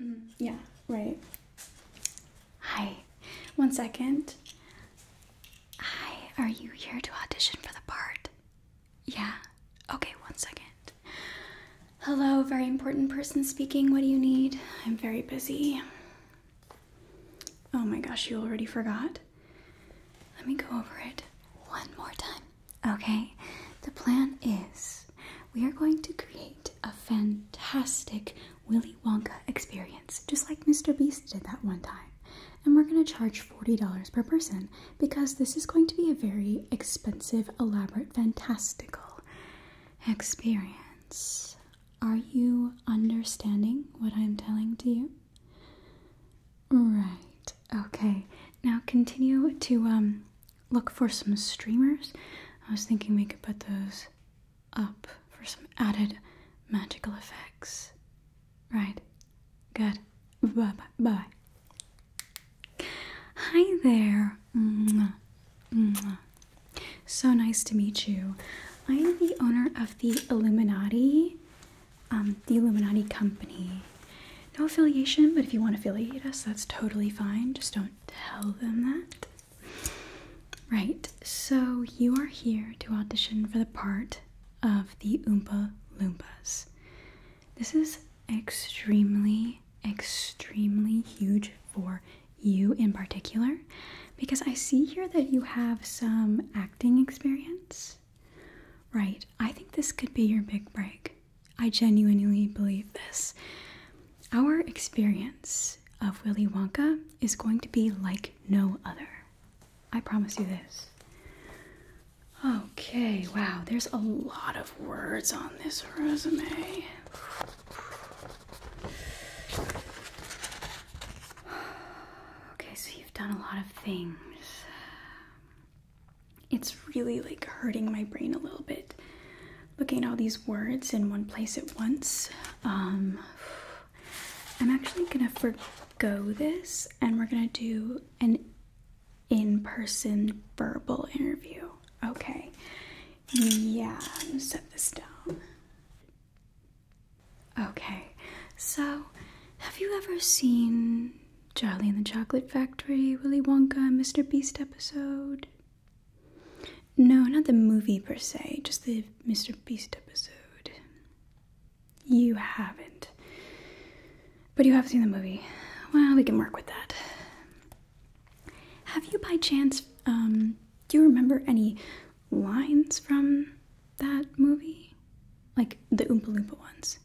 Mm-hmm. yeah, right. Hi. One second. Hi, are you here to audition for the part? Yeah. Okay, one second. Hello, very important person speaking. What do you need? I'm very busy. Oh my gosh, you already forgot? Let me go over it one more time. Okay, the plan is we are going to create a fantastic Willy Wonka experience, just like Mr. Beast did that one time. And we're going to charge $40 per person because this is going to be a very expensive, elaborate, fantastical experience. Are you understanding what I'm telling to you? Right. Okay. Now continue to um look for some streamers. I was thinking we could put those up for some added magical effects. Right. Good. Bye bye. Bye. Hi there. So nice to meet you. I am the owner of the Illuminati, um, the Illuminati Company. No affiliation, but if you want to affiliate us, that's totally fine. Just don't tell them that. Right, so you are here to audition for the part of the Oompa Loompas. This is extremely, extremely huge for you in particular because I see here that you have some acting experience. Right, I think this could be your big break. I genuinely believe this. Our experience of Willy Wonka is going to be like no other. I promise you this. Okay, wow, there's a lot of words on this resume. Okay, so you've done a lot of things. It's really like hurting my brain a little bit looking at all these words in one place at once. Um, I'm actually gonna forgo this and we're gonna do an in person verbal interview. Okay. Yeah, set this down. Okay, so have you ever seen Charlie and the Chocolate Factory, Willy Wonka, Mr. Beast episode? No, not the movie per se, just the Mr. Beast episode. You haven't. But you have seen the movie. Well, we can work with that. Have you by chance, um, do you remember any lines from that movie? Like the Oompa Loompa ones?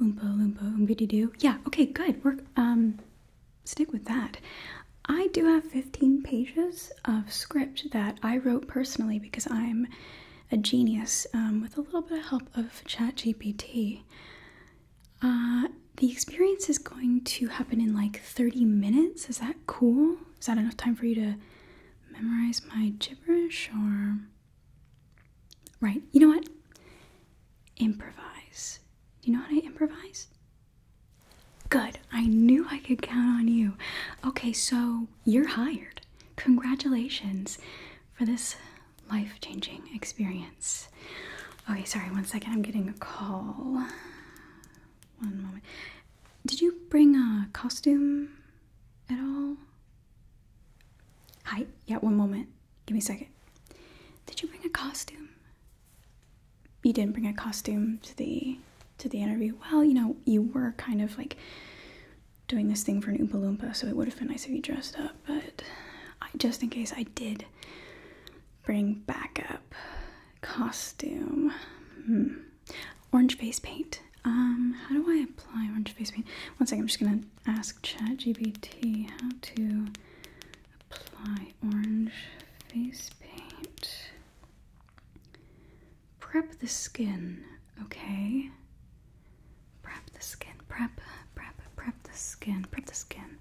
Oompa Loompa Oompity Doo? Yeah, okay, good. We're, um, stick with that. I do have 15 pages of script that I wrote personally because I'm a genius um, with a little bit of help of ChatGPT. Uh, the experience is going to happen in like 30 minutes. Is that cool? Is that enough time for you to memorize my gibberish or. Right, you know what? Improvise. Do you know how to improvise? Good. I knew I could count on you. Okay, so you're hired. Congratulations for this life changing experience. Okay, sorry, one second. I'm getting a call. One moment. Did you bring a costume at all? Hi. Yeah, one moment. Give me a second. Did you bring a costume? You didn't bring a costume to the to the interview. Well, you know, you were kind of like doing this thing for an Oompa Loompa, so it would have been nice if you dressed up. But I, just in case, I did bring backup costume. Hmm. Orange face paint. Um, how do I apply orange face paint? One second, I'm just gonna ask ChatGPT how to Apply orange face paint. Prep the skin, okay? Prep the skin, prep, prep, prep the skin, prep the skin.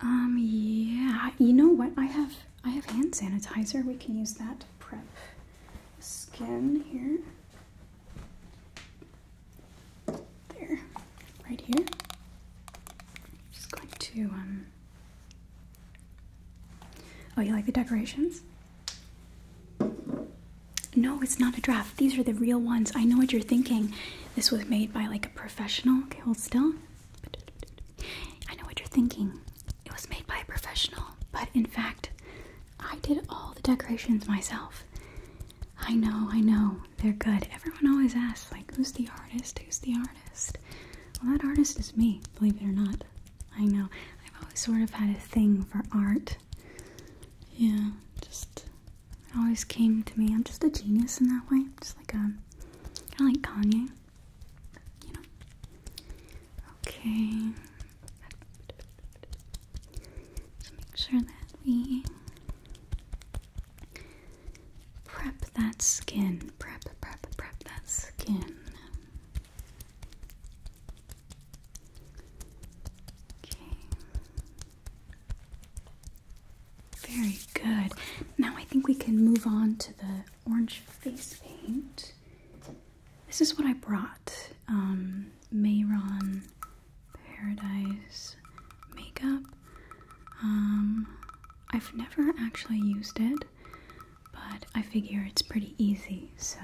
Um, yeah, you know what? I have, I have hand sanitizer. We can use that to prep skin here there, right here. I'm just going to, um, oh, you like the decorations? No, it's not a draft. These are the real ones. I know what you're thinking. This was made by like a professional. Okay, hold still. I know what you're thinking. It was made by a professional, but in fact, I did all the decorations myself. I know, I know. They're good. Everyone always asks, like, who's the artist? Who's the artist? Well, that artist is me, believe it or not. I know. I've always sort of had a thing for art. Yeah, just always came to me. I'm just a genius in that way. just like um kind of like Kanye. You know. Okay. let make sure that we Prep that skin. Prep, prep, prep that skin. Okay. Very good. Now I think we can move on to the orange face paint. This is what I brought. Um, Mayron Paradise makeup. Um, I've never actually used it, but I figure it's pretty easy, so.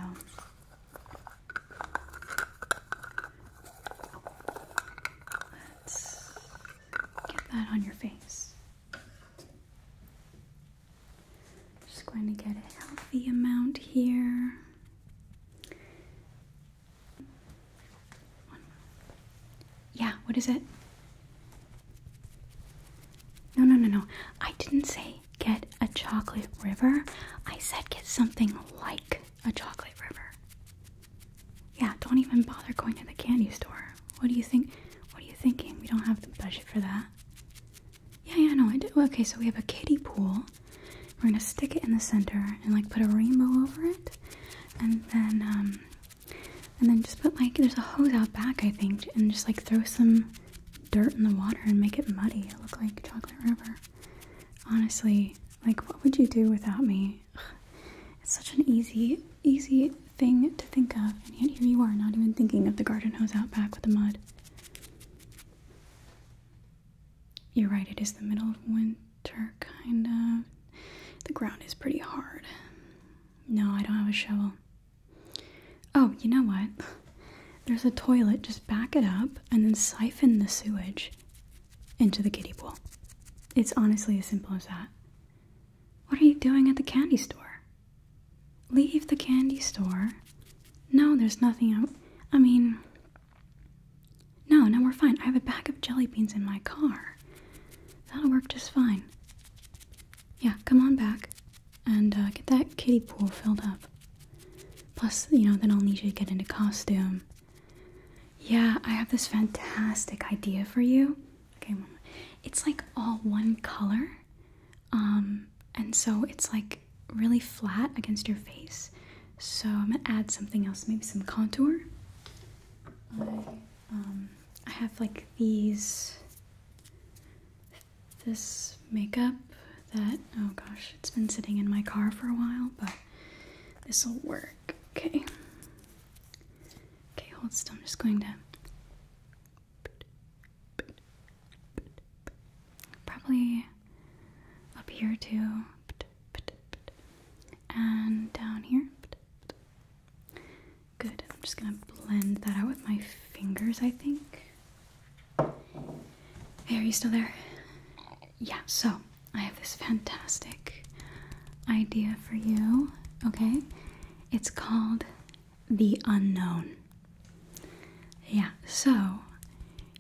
Let's get that on your face. Just going to get a healthy amount here. Yeah, what is it? No, no, no, no. I didn't say get a chocolate river. I said get something like a chocolate river. Yeah, don't even bother going to the candy store. What do you think? What are you thinking? We don't have the budget for that. Yeah, yeah, no, I do. Okay, so we have a kiddie pool. We're gonna stick it in the center and like put a rainbow over it, and then um, and then just put like there's a hose out back I think, and just like throw some dirt in the water and make it muddy. It look like chocolate river. Honestly, like what would you do without me? It's such an easy, easy thing to think of, and yet here you are not even thinking of the garden hose out back with the mud. You're right, it is the middle of winter, kind of. The ground is pretty hard. No, I don't have a shovel. Oh, you know what? There's a toilet. Just back it up and then siphon the sewage into the kiddie pool. It's honestly as simple as that. What are you doing at the candy store? Leave the candy store. No, there's nothing. I, I mean, no, no, we're fine. I have a bag of jelly beans in my car. That'll work just fine. Yeah, come on back and uh, get that kiddie pool filled up. Plus, you know, then I'll need you to get into costume. Yeah, I have this fantastic idea for you. Okay, it's like all one color. Um, and so it's like really flat against your face. So I'm gonna add something else, maybe some contour. I, um, I have like these, this makeup that, oh gosh, it's been sitting in my car for a while, but this will work. Okay. Okay, hold still. I'm just going to probably up here too and down here. Good. I'm just gonna blend that out with my fingers, I think. Hey, are you still there? Yeah, so I have this fantastic idea for you, okay? It's called The Unknown. Yeah, so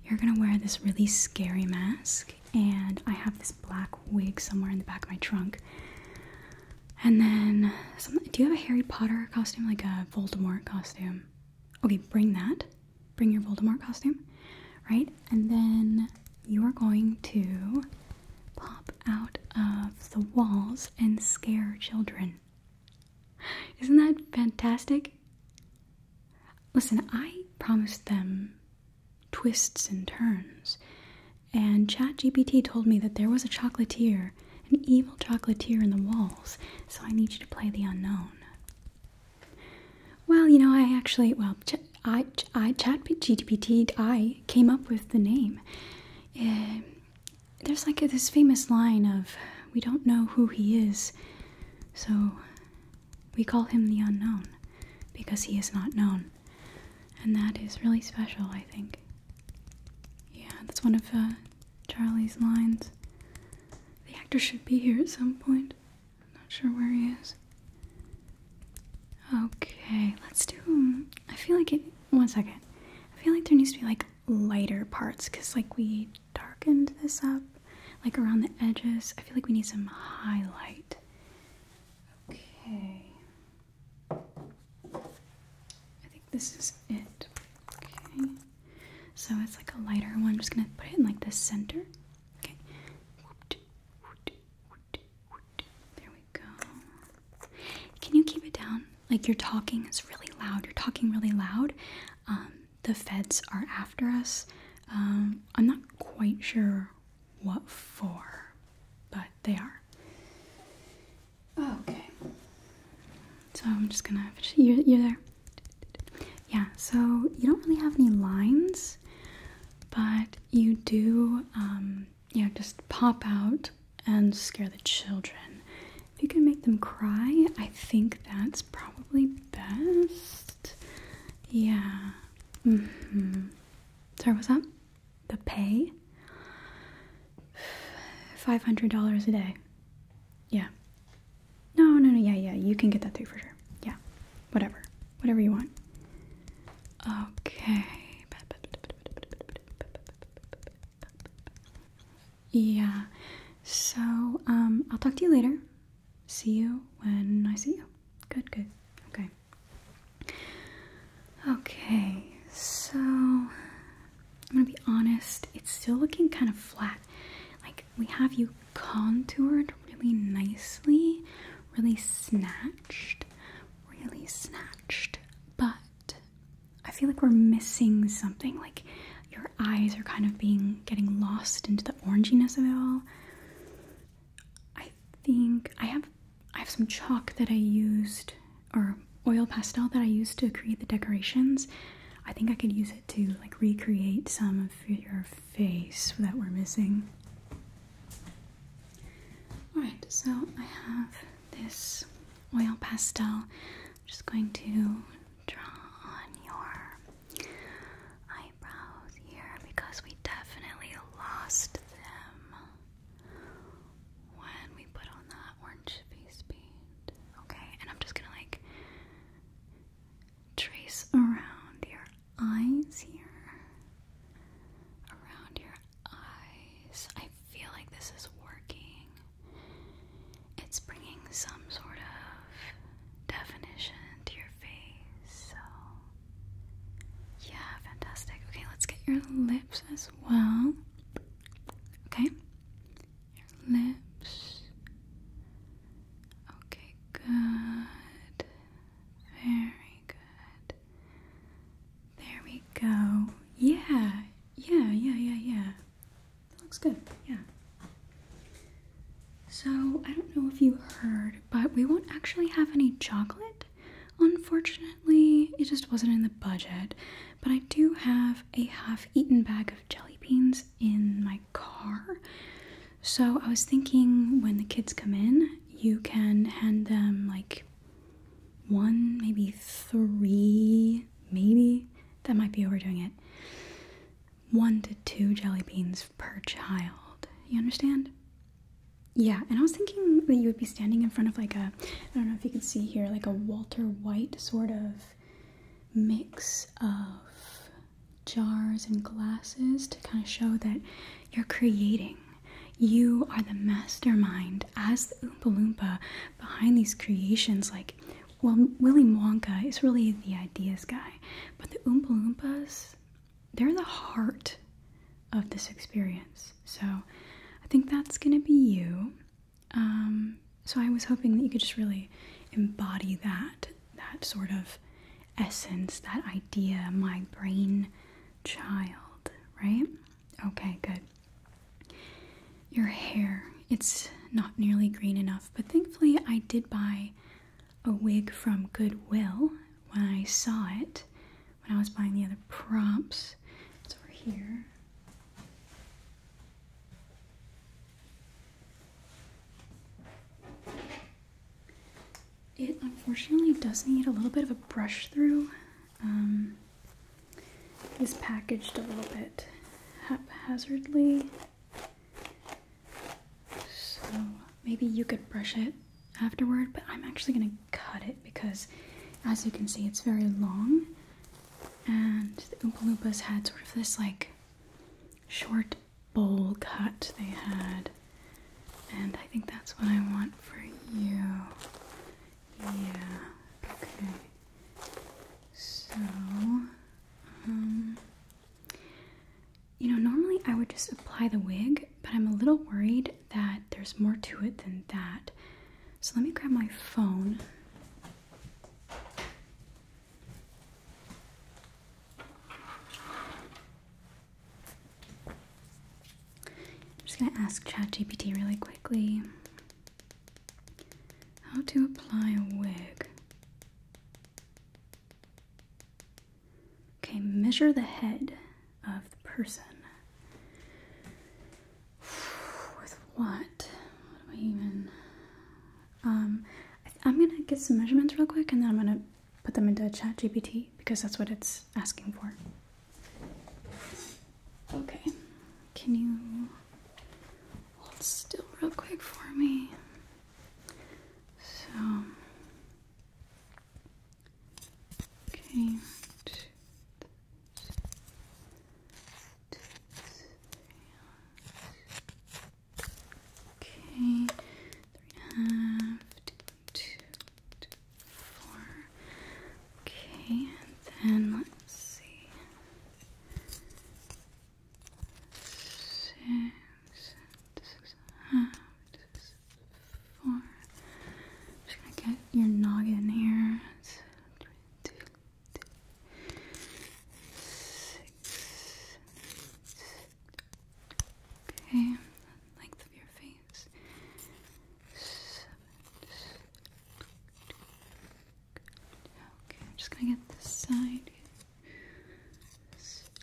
you're gonna wear this really scary mask, and I have this black wig somewhere in the back of my trunk. And then, do you have a Harry Potter costume, like a Voldemort costume? Okay, bring that. Bring your Voldemort costume, right? And then you are going to pop out of the walls and scare children. Isn't that fantastic? Listen, I promised them twists and turns. And ChatGPT told me that there was a chocolatier, an evil chocolatier in the walls, so I need you to play the unknown. Well, you know, I actually, well, Ch I, Ch I, ChatGPT, I came up with the name. Eh, there's like this famous line of, we don't know who he is, so we call him the unknown because he is not known. And that is really special, I think. Yeah, that's one of uh, Charlie's lines. The actor should be here at some point. I'm not sure where he is. Okay, let's do. I feel like it. One second. I feel like there needs to be like lighter parts because like we darkened this up like around the edges. I feel like we need some highlight. Okay. I think this is it. Okay. So it's like a lighter one. I'm just gonna put it in like the center. Okay. There we go. Can you keep it down? Like you're talking is really loud. You're talking really loud. Um, the feds are after us. Um, I'm not quite sure what for, but they are. Okay. So I'm just gonna. You're, there. Yeah, so you don't really have any lines, but you do, um, you know, just pop out and scare the children. If you can make them cry, I think that's probably best yeah. Mm-hmm. Sorry, what's up? The pay? Five hundred dollars a day. Yeah. No, no, no. Yeah, yeah. You can get that through for sure. Yeah. Whatever. Whatever you want. Okay. Yeah. So, um, I'll talk to you later. See you when I see you good, good. Okay. Okay, so I'm gonna be honest, it's still looking kind of flat. Like, we have you contoured really nicely, really snatched, really snatched, but I feel like we're missing something. Like, your eyes are kind of being getting lost into the oranginess of it all. I think I have I have some chalk that I used or oil pastel that I used to create the decorations. I think I could use it to like recreate some of your face that we're missing. Alright, so I have this oil pastel. I'm just going to draw on your eye eyebrows here because we definitely lost them when we put on that orange face paint. Okay, and I'm just gonna like trace around your eyes here. Around your eyes. I feel like this is working. It's bringing some sort of definition to your face. So, yeah, fantastic. Okay, let's get your lips as well. Okay, your lips. Okay, good. Very good. There we go. Yeah, yeah, yeah, yeah, yeah. looks good. Yeah. So, I don't know if you heard, but we won't actually have any chocolate. Unfortunately, it just wasn't in the budget, but I do have a half eaten bag of jelly beans in my car. So, I was thinking when the kids come in, you can hand them like one, maybe three, maybe that might be overdoing it. One to two jelly beans per child. You understand? Yeah, and I was thinking that you would be standing in front of like a, I don't know if you can see here, like a Walter White sort of mix of jars and glasses to kind of show that you're creating. You are the mastermind as the Oompa Loompa behind these creations. Like, well, Willy Wonka is really the ideas guy, but the Oompa Loompas, they're the heart of this experience. So I think that's going to be you. Um, so I was hoping that you could just really embody that, that sort of essence, that idea, my brain child, right? Okay, good. Your hair, it's not nearly green enough, but thankfully I did buy a wig from Goodwill when I saw it when I was buying the other props. It's over here. It unfortunately does need a little bit of a brush through. Um, packaged a little bit haphazardly. So maybe you could brush it afterward, but I'm actually gonna cut it because as you can see it's very long and the Oompa Loompas had sort of this like short bowl cut they had and I think that's what I want for you. Yeah, okay. So, um, you know, normally I would just apply the wig, but I'm a little worried that there's more to it than that. So let me grab my phone. I'm just going to ask ChatGPT really quickly how to apply a wig. Okay, measure the head of the person. With what? do I even? Um, I am gonna get some measurements real quick, and then I'm gonna put them into ChatGPT because that's what it's asking for. Okay, can you hold still real quick for me? So, okay, two, two, three, okay, three and a half, two, two, four, okay, and then let's see six, six and half, six, four. I'm just gonna get your noggin here. Okay, length of your face. Okay, just gonna get this side.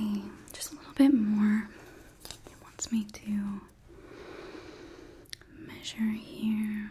Okay, just a little bit more. wants me to measure here.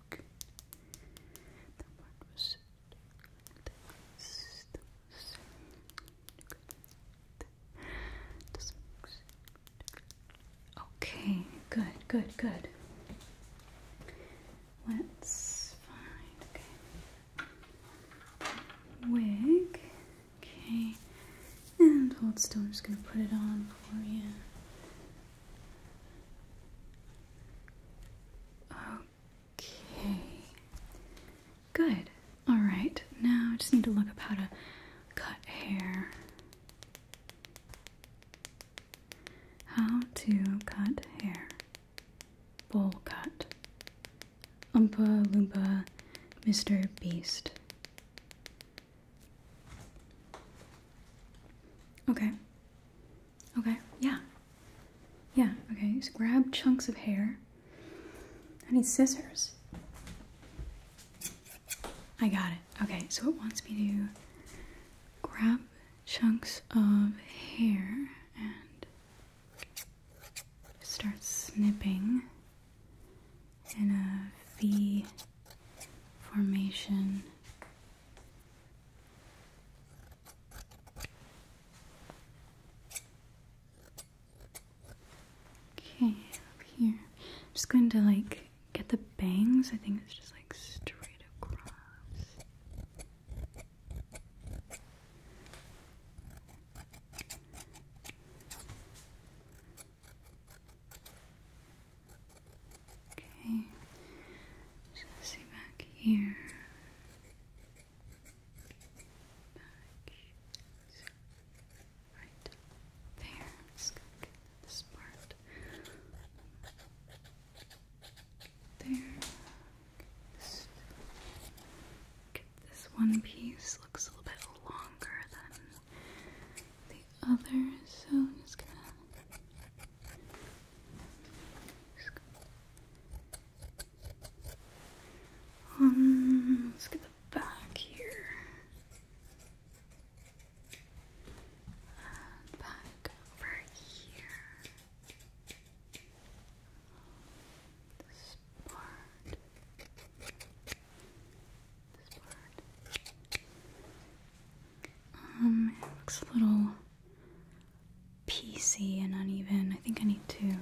Okay, good, good, good. Let's find Wig. Okay. And hold still, I'm just gonna put it on for you. Okay. Good. All right. Now I just need to look up how to cut hair. How to cut hair. Bowl cut. Oompa Lumba, Mr. Beast. Okay. Okay, yeah. Yeah, okay. So grab chunks of hair. I need scissors. I got it. Okay, so it wants me to grab chunks of hair and start snipping in a V formation Okay, up here. I'm just going to like get the bangs. I think it's just like straight across. Okay, so let's see back here. right there. Just gonna get this part. There. This, this one piece looks a little bit longer than the the other, so i just gonna um, let's get the back here. Uh, back over here. This part. This part. Um, it looks a little piecey and uneven. I think I need to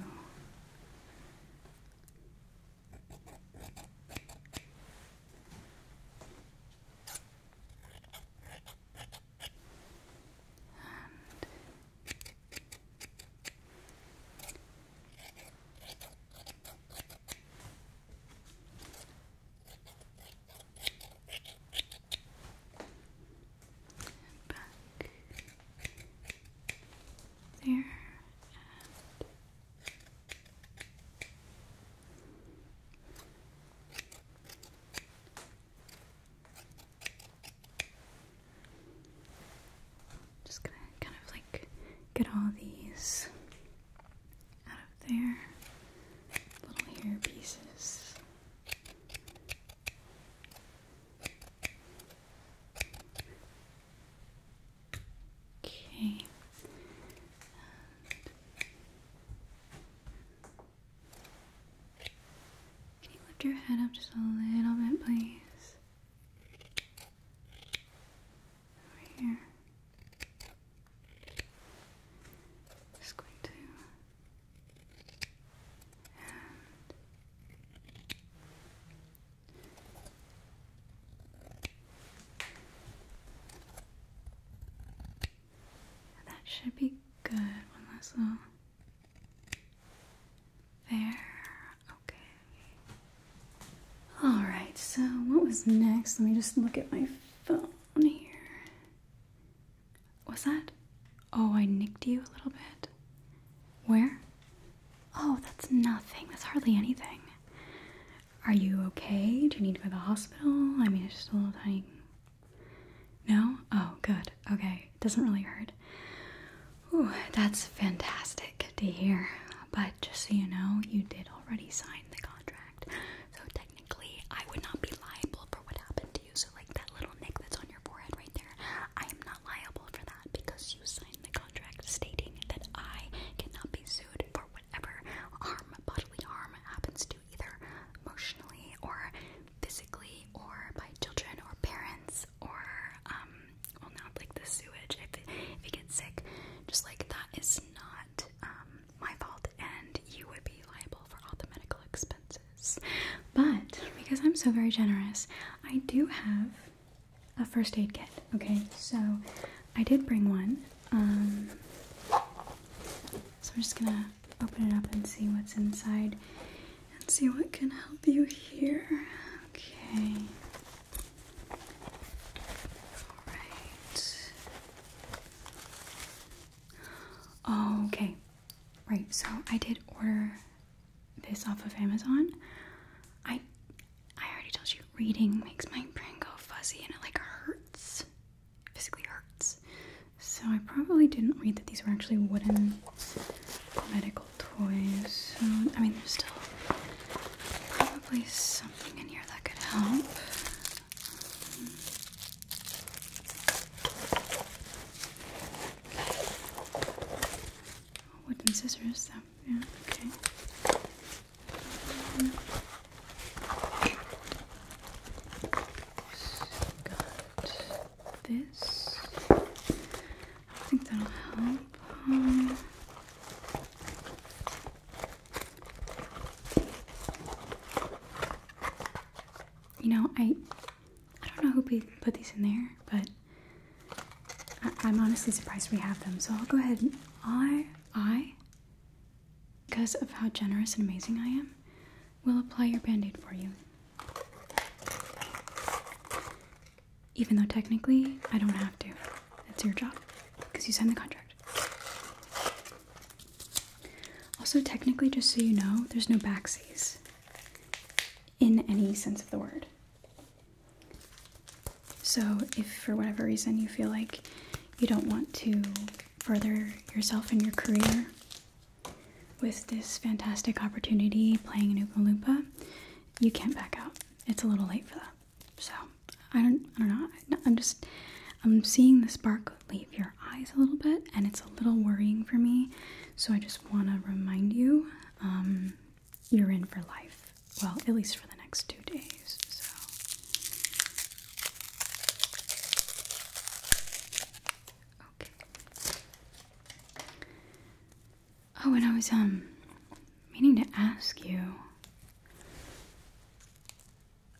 there and just gonna kind of like get all these out of their little hair pieces. Okay. can you lift your head up just a little bit, please? Over here. Just going to and that should be good. One last little there. Okay. All right. So what was next? Let me just look at my phone here. What's that? Oh, I nicked you a little bit. Where? Oh, that's nothing. That's hardly anything. Are you okay? Do you need to go to the hospital? I mean, it's just a little tiny. No? Oh, good. Okay. Doesn't really hurt. Ooh, that's fantastic to hear. But just so you know, you did already sign the contract. So technically, technically I would not be liable for what happened to you. So like that little nick that's on your forehead right there, I am not liable for that because you signed the contract stating that I cannot be sued for whatever harm, bodily harm happens to either emotionally or physically or by children or parents or um well not like the sewage if it, if it gets sick just like that is not um my fault and you would be liable for all the medical expenses. But because I'm so very generous, I do have a first aid kit. Okay, so I did bring one. Um, so I'm just gonna open it up and see what's inside and see what can help you here. Okay. Alright. Oh, okay, right. So I did order this off of Amazon. I I already told you reading makes my brain go fuzzy and it like hurts, physically hurts. So I probably didn't read that these were actually wooden medical toys. I mean, there's still probably something in here that could help. Wooden scissors, yeah, okay. got this. I think that'll help. You know, I I don't know who put these in there, but I, am honestly surprised we have them. So I'll go ahead and I I because of how generous and amazing I am, will apply your band-aid for you. Even though technically I don't have to. It's your job because you signed the contract. Also, technically, just so you know, there's no backsies in any sense of the word. So, if for whatever reason you feel like you don't want to further yourself in your career with this fantastic opportunity playing in Oompa Loompa, you can't back out. It's a little late for that. So, I don't I don't know. I'm just I'm seeing the spark leave your eyes a little bit and it's a little worrying for me. So I just want to remind you um, you're in for life. Well, at least for the next 2 days. So Okay. Oh, and I was um meaning to ask you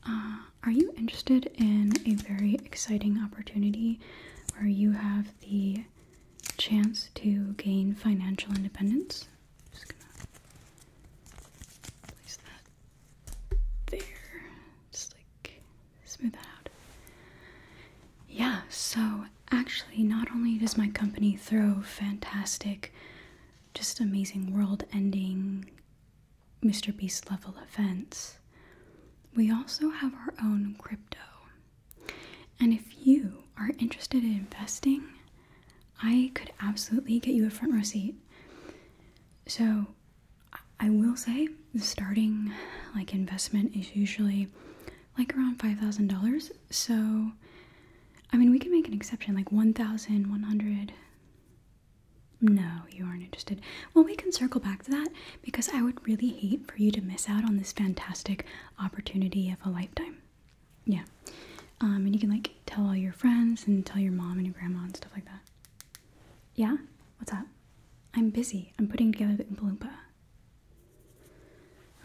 uh, are you interested in a very exciting opportunity where you have the chance to gain financial independence? just gonna place that there, just like smooth that out. Yeah, so actually, not only does my company throw fantastic, just amazing world ending Mr. Beast level events, we also have our own crypto. And if you are interested in investing, I could absolutely get you a front row seat. So, I will say the starting like investment is usually like around $5,000. So, I mean, we can make an exception like 1,100 no, you aren't interested. Well, we can circle back to that because I would really hate for you to miss out on this fantastic opportunity of a lifetime. Yeah. Um, and you can like tell all your friends and tell your mom and your grandma and stuff like that. Yeah? What's up? I'm busy. I'm putting together the Oompa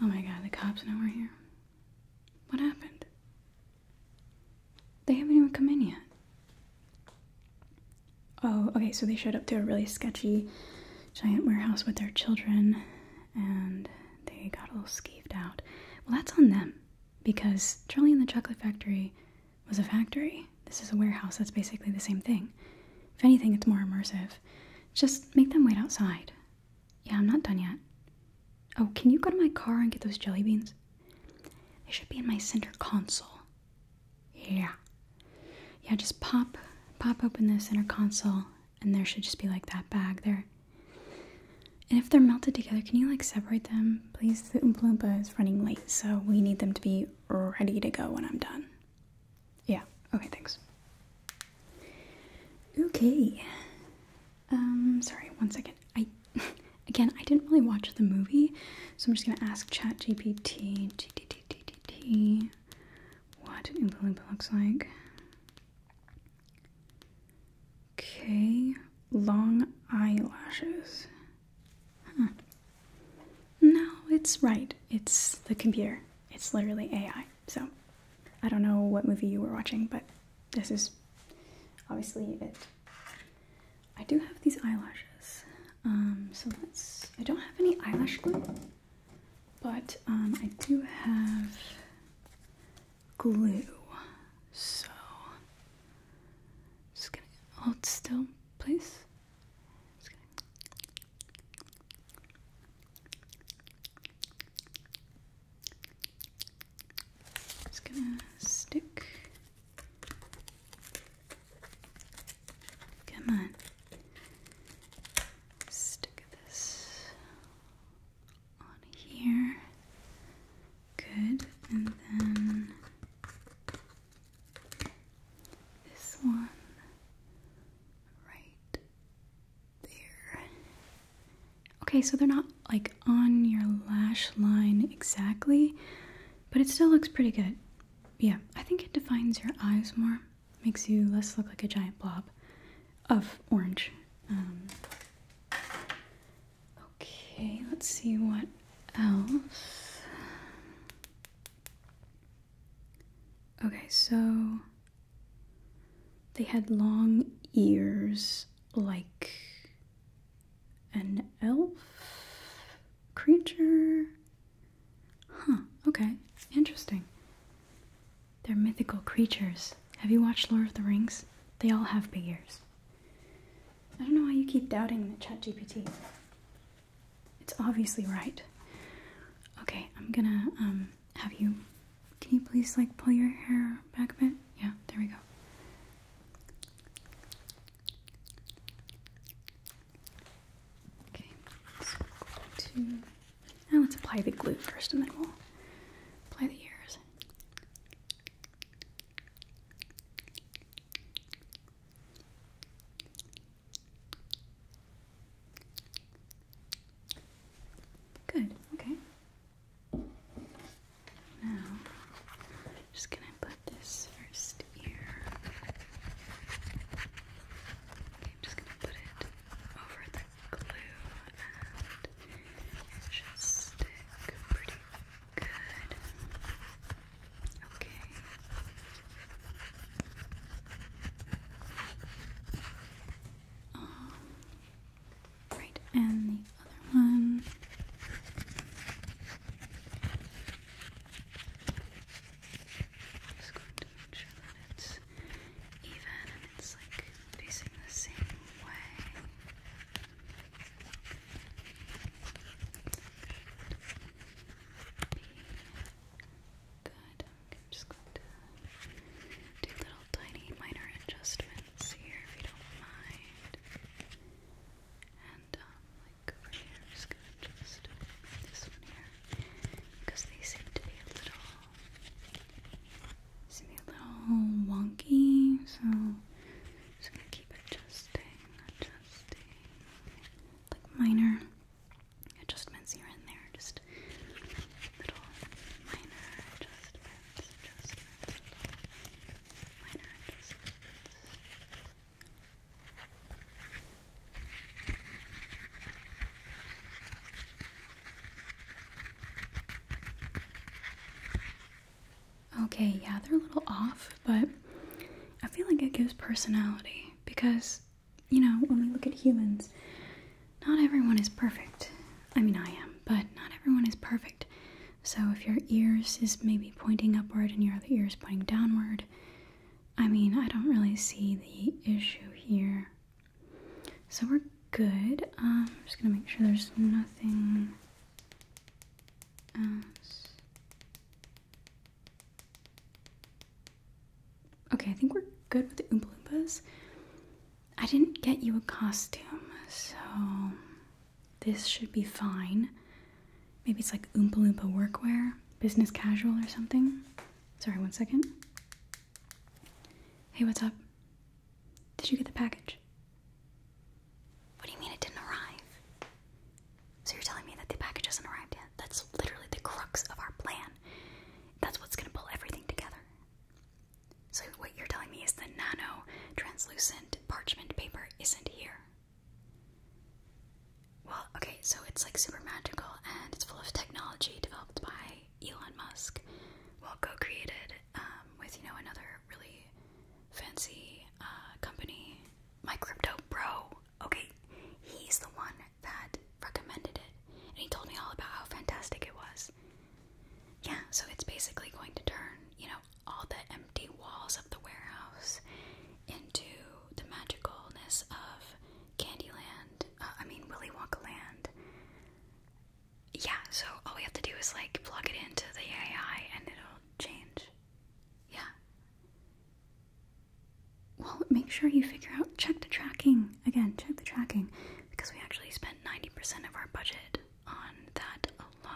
Oh my god, the cops know we're here. What happened? They haven't even come in yet. Oh, okay, so they showed up to a really sketchy giant warehouse with their children and they got a little skeeved out. Well, that's on them because Charlie and the Chocolate Factory was a factory. This is a warehouse, that's basically the same thing. If anything, it's more immersive. Just make them wait outside. Yeah, I'm not done yet. Oh, can you go to my car and get those jelly beans? They should be in my center console. Yeah. Yeah, just pop pop open the center console and there should just be like that bag there. And if they're melted together, can you like separate them? Please, the Oompa Loompa is running late, so we need them to be ready to go when I'm done. Yeah, okay, thanks. Okay, um, sorry, one second. I again, I didn't really watch the movie, so I'm just gonna ask ChatGPT, GTTTTT, what an Oompa looks like. Okay, long eyelashes. No, it's right. It's the computer. It's literally AI. So, I don't know what movie you were watching, but this is obviously it. I do have these eyelashes. Um, so let's. I don't have any eyelash glue, but um, I do have glue. So just gonna hold still, please just gonna stick. Come on. Stick this on here. Good. And then this one right there. Okay, so they're not like on your lash line exactly, but it still looks pretty good. Yeah, I think it defines your eyes more, makes you less look like a giant blob of orange. Um, okay, let's see what else. Okay, so they had long ears like an elf creature. Huh, okay, interesting. They're mythical creatures. Have you watched Lord of the Rings? They all have big ears. I don't know why you keep doubting the ChatGPT. It's obviously right. Okay, I'm gonna um have you can you please like pull your hair back a bit? Yeah, there we go. Okay, so now let's apply the glue first, and then we'll apply the ears. Good. Okay. Now, just gonna put this first ear. I'm just gonna put it over the glue, and it should stick pretty good. Okay. Um, Right, and the other one. just going to make sure that it's even and it's like facing the same way. Good. I'm just going to do little tiny minor adjustments here if you don't mind. And um, like over here, I'm just gonna just move this one here because they seem to be a little, seem a little wonky. So I'm just gonna keep adjusting, adjusting, like minor adjustments here and there, just little minor adjustments. Okay, yeah, they're a little off, but I feel like it gives personality because, you know, when we look at humans, not everyone is perfect. I mean, I am, but not everyone is perfect. So if your ears is maybe pointing upward and your other ears pointing downward, I mean, I don't really see the issue here. So we're good. Um, I'm just gonna make sure there's nothing Okay, I think we're good with the Oompa Loompas. I didn't get you a costume, so this should be fine. Maybe it's like Oompa Loompa workwear, business casual or something. Sorry, one second. Hey, what's up? Did you get the package? What do you mean it didn't arrive? So you're telling me that the package hasn't arrived yet? That's literally the crux of our plan. That's what's gonna pull everything together. So, what you're telling me is the nano translucent parchment paper isn't here. Well, okay, so it's like super magical and it's full of technology developed by Elon Musk. Well, co created um, with, you know, another really fancy uh, company, My Crypto Bro. Okay, he's the one that recommended it and he told me all about how fantastic it was. Yeah, so it's basically going to turn, you know, all the empty walls of the warehouse into the magicalness of Candyland, uh, I mean, Willy Wonka Land. Yeah, so all we have to do is like plug it into the AI and it'll change. Yeah. Well, make sure you figure out, check the tracking. Again, check the tracking because we actually spent 90% of our budget on that alone.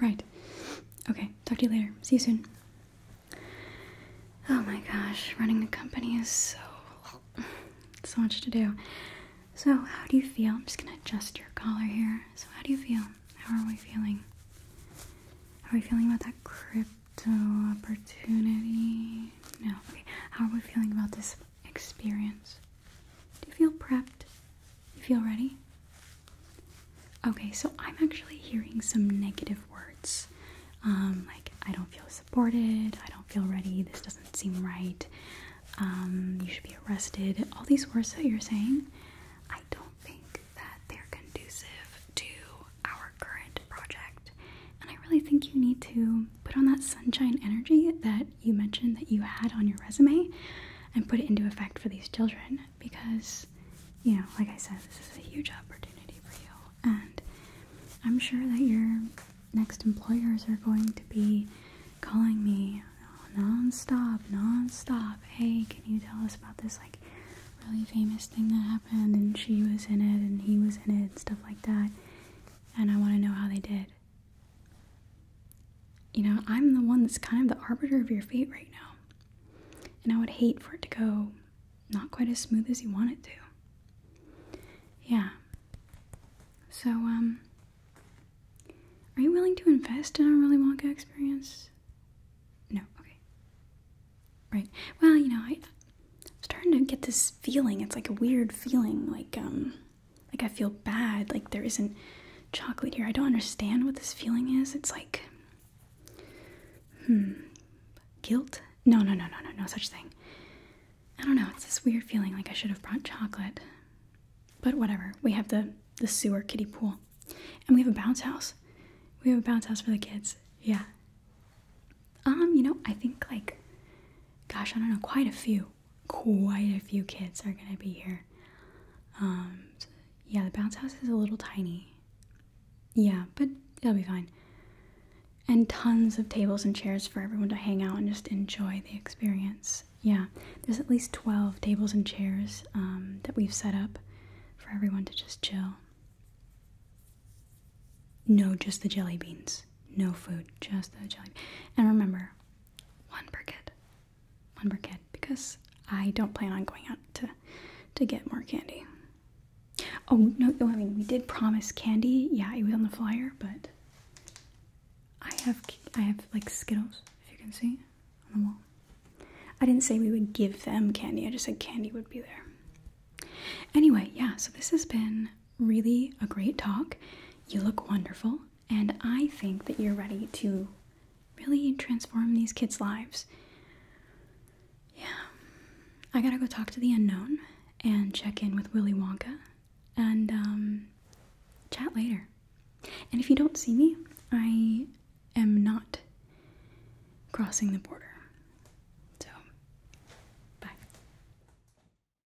Right. Okay, talk to you later. See you soon. Oh my gosh, running a company is so so much to do. So, how do you feel? I'm just gonna adjust your collar here. So, how do you feel? How are we feeling? How are we feeling about that crypto opportunity? No. Okay. How are we feeling about this experience? Do you feel prepped? You feel ready? Okay, so I'm actually hearing some negative words. Um, like, I don't feel supported, I don't feel ready, this doesn't seem right, um, you should be arrested. All these words that you're saying, I don't think that they're conducive to our current project. And I really think you need to put on that sunshine energy that you mentioned that you had on your resume and put it into effect for these children because, you know, like I said, this is a huge opportunity for you. And I'm sure that your next employers are going to be calling me oh, non-stop, non-stop. Hey, can you tell us about this like really famous thing that happened and she was in it and he was in it stuff like that. And I want to know how they did. You know, I'm the one that's kind of the arbiter of your fate right now. And I would hate for it to go not quite as smooth as you want it to. Yeah. So, um, are you willing to invest in our Willy Wonka experience? No, okay. Right. Well, you know, I'm starting to get this feeling. It's like a weird feeling, like, um, like, I feel bad. Like, there isn't chocolate here. I don't understand what this feeling is. It's like, hmm, guilt? No, no, no, no, no, no such thing. I don't know. It's this weird feeling like I should have brought chocolate. But whatever. We have the, the sewer kitty pool. And we have a bounce house. We have a bounce house for the kids. Yeah. Um, you know, I think like, gosh, I don't know, quite a few quite a few kids are going to be here. Um, yeah, the bounce house is a little tiny. Yeah, but it'll be fine. And tons of tables and chairs for everyone to hang out and just enjoy the experience. Yeah, there's at least 12 tables and chairs um, that we've set up for everyone to just chill. No, just the jelly beans. No food, just the jelly. And remember, one briquette, one briquette, because I don't plan on going out to to get more candy. Oh no! I mean, we did promise candy. Yeah, it was on the flyer, but I have I have like Skittles, if you can see on the wall. I didn't say we would give them candy. I just said candy would be there. Anyway, yeah. So this has been really a great talk. You look wonderful, and I think that you're ready to really transform these kids' lives. Yeah. I gotta go talk to the unknown and check in with Willy Wonka and um, chat later. And if you don't see me, I am not crossing the border. So, bye.